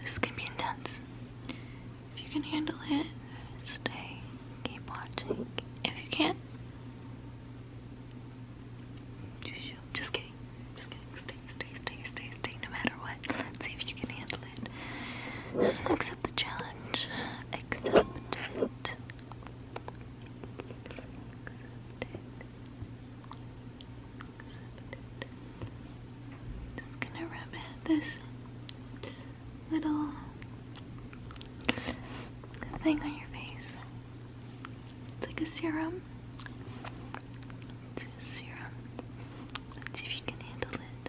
This can be intense. If you can handle it, stay. Keep watching. If you can't, just kidding. Just Stay, stay, stay, stay, stay, no matter what. Let's see if you can handle it. Accept the challenge. Accept it. Just gonna rub this little thing on your face. It's like a serum. serum. Let's see if you can handle it.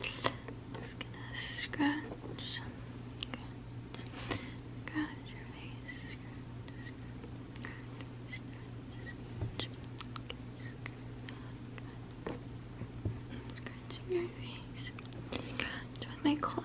Just gonna scratch, scratch, your face, scratch, scratch, scratch, scratch, okay, your face, scratch with my claws,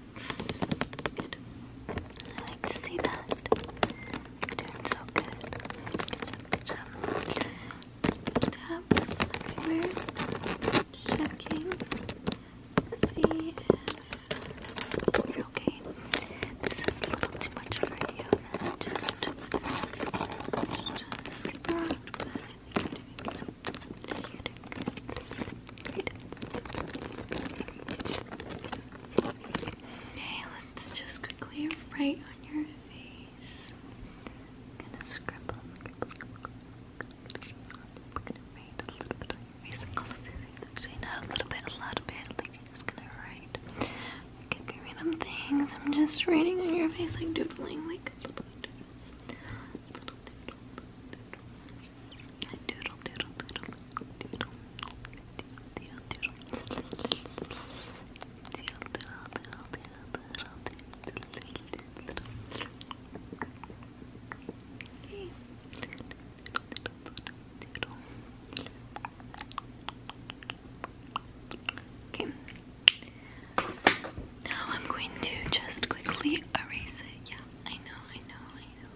Good. I like to see that. You're doing so good. Good job, Checking. See you're okay. This is a little too much for you. Just, just keep around, Okay, let's just quickly write on your face. I'm gonna scribble, gonna write a little bit on your face. a little bit, a lot of just gonna write. I could be random things. I'm just writing on your face, like doodling, like Okay. Now I'm going to just quickly erase it. Yeah, I know, I know, eraser.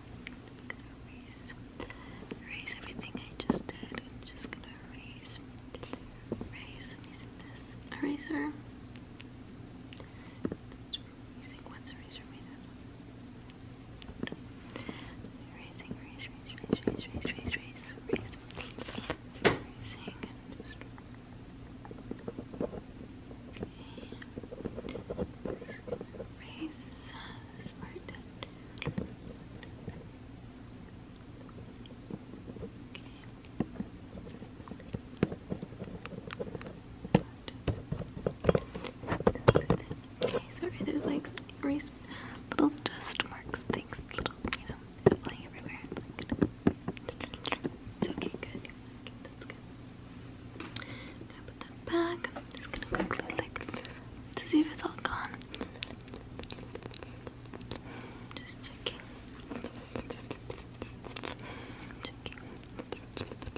Okay. Okay, sorry, there's like little dust marks, things, little, you know, flying everywhere. It's okay, good to put that back. just gonna quickly like to see if it's all gone. Just checking. Just,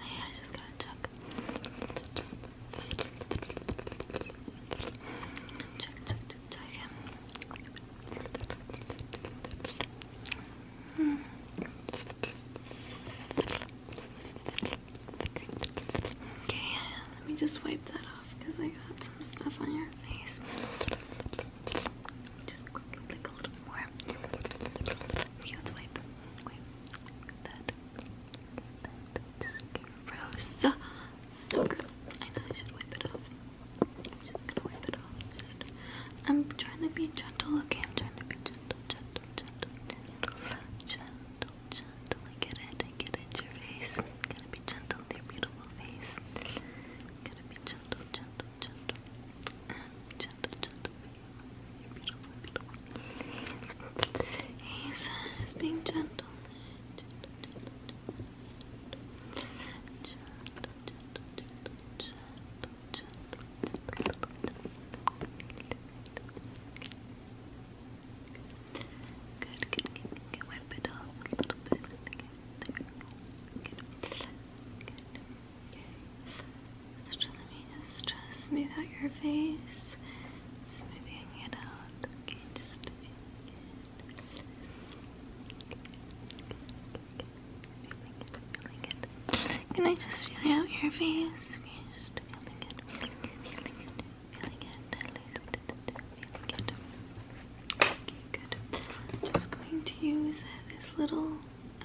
yeah, I just gotta check. Check, Okay, let me just wipe that off because I got some stuff on your face. Just a little more. let's Wipe. That. Gross. So gross. I know I should wipe it off. I'm just gonna wipe it off. Just, I'm trying to be gentle, okay? I'm trying to be gentle, gentle, gentle, gentle, gentle, gentle. I get it, I get it. Your face. Gotta be gentle with your beautiful face. Gotta be gentle, gentle, gentle. Gentle, gentle. You're beautiful, beautiful. He's, he's being gentle. Good, good, good, good. Wipe it off a little bit. let me just smooth out your face. Smoothing it out. Can I just feel out your face? Can you just feeling it? Feeling it. Feeling it. Feeling it. Okay, good. just going to use this little uh,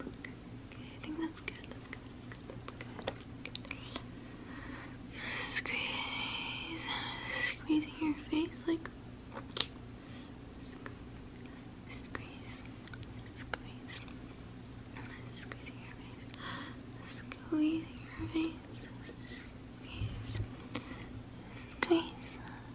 Okay, I think that's good. That's good. That's good. That's good. Just squeeze, squeezing your face like. Squeeze, squeeze, squeezing your face, squeezing your face, squeeze, squeeze,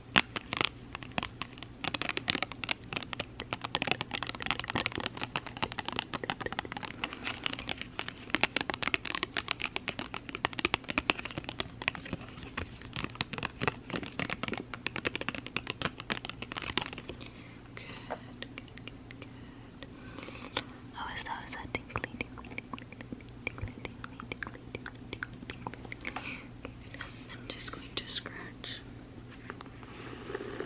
good, good, good. How is that? Is that tingly, tingly, tingly, I'm just going to scratch. Okay.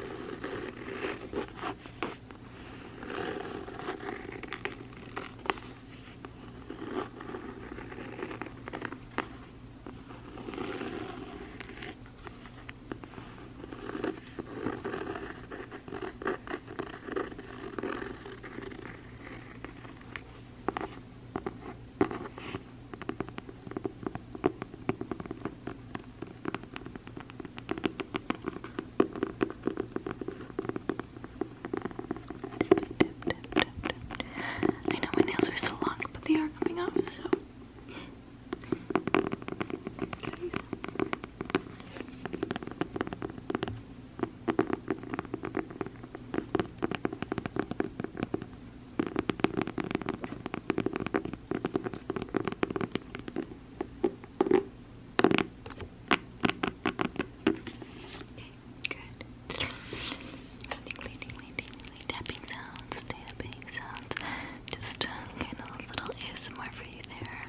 I know my nails are so long, but they are coming off, so. Good. tapping sounds, tapping sounds. Just kind of a little ASMR for you there.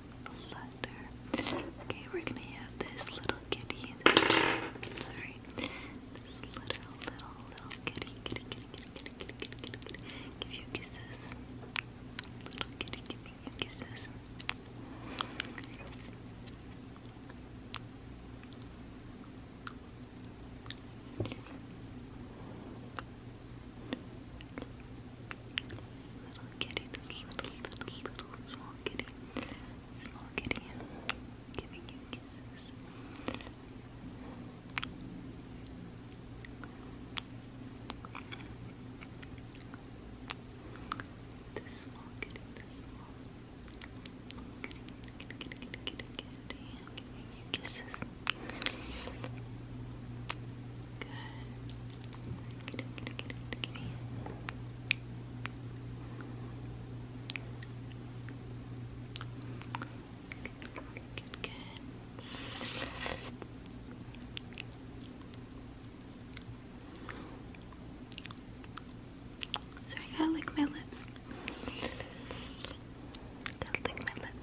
flutter. Okay, we're gonna have this little kitty. sorry, this little, little, little kitty, kitty, kitty, kitty, kitty, kitty, you Little kitty, give you kisses. Little kitty, Little kitty, this little, little, small kitty. Small kitty, giving you kisses. small kitty, small kitty, kitty, kitty, giving you kisses. Good. Sorry, I gotta lick my lips. Gotta lick my lips.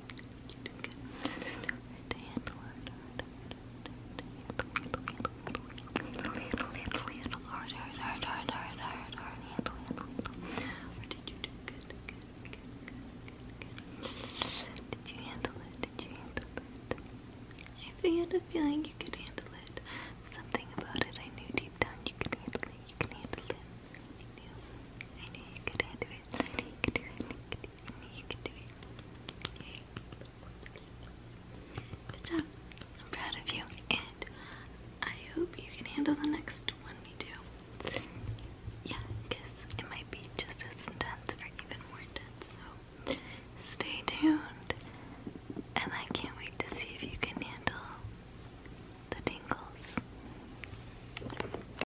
Did you handle it? Did you handle it? I had a feeling you could handle it. Something about it I knew deep down you could handle it. You can handle it. I knew. I knew you could handle it. I knew you could do it. Good job. I'm proud of you. And I hope you can handle the next one we do. it might be just as intense or even more intense. So stay tuned. And I can't wait to see if you can handle the tingles.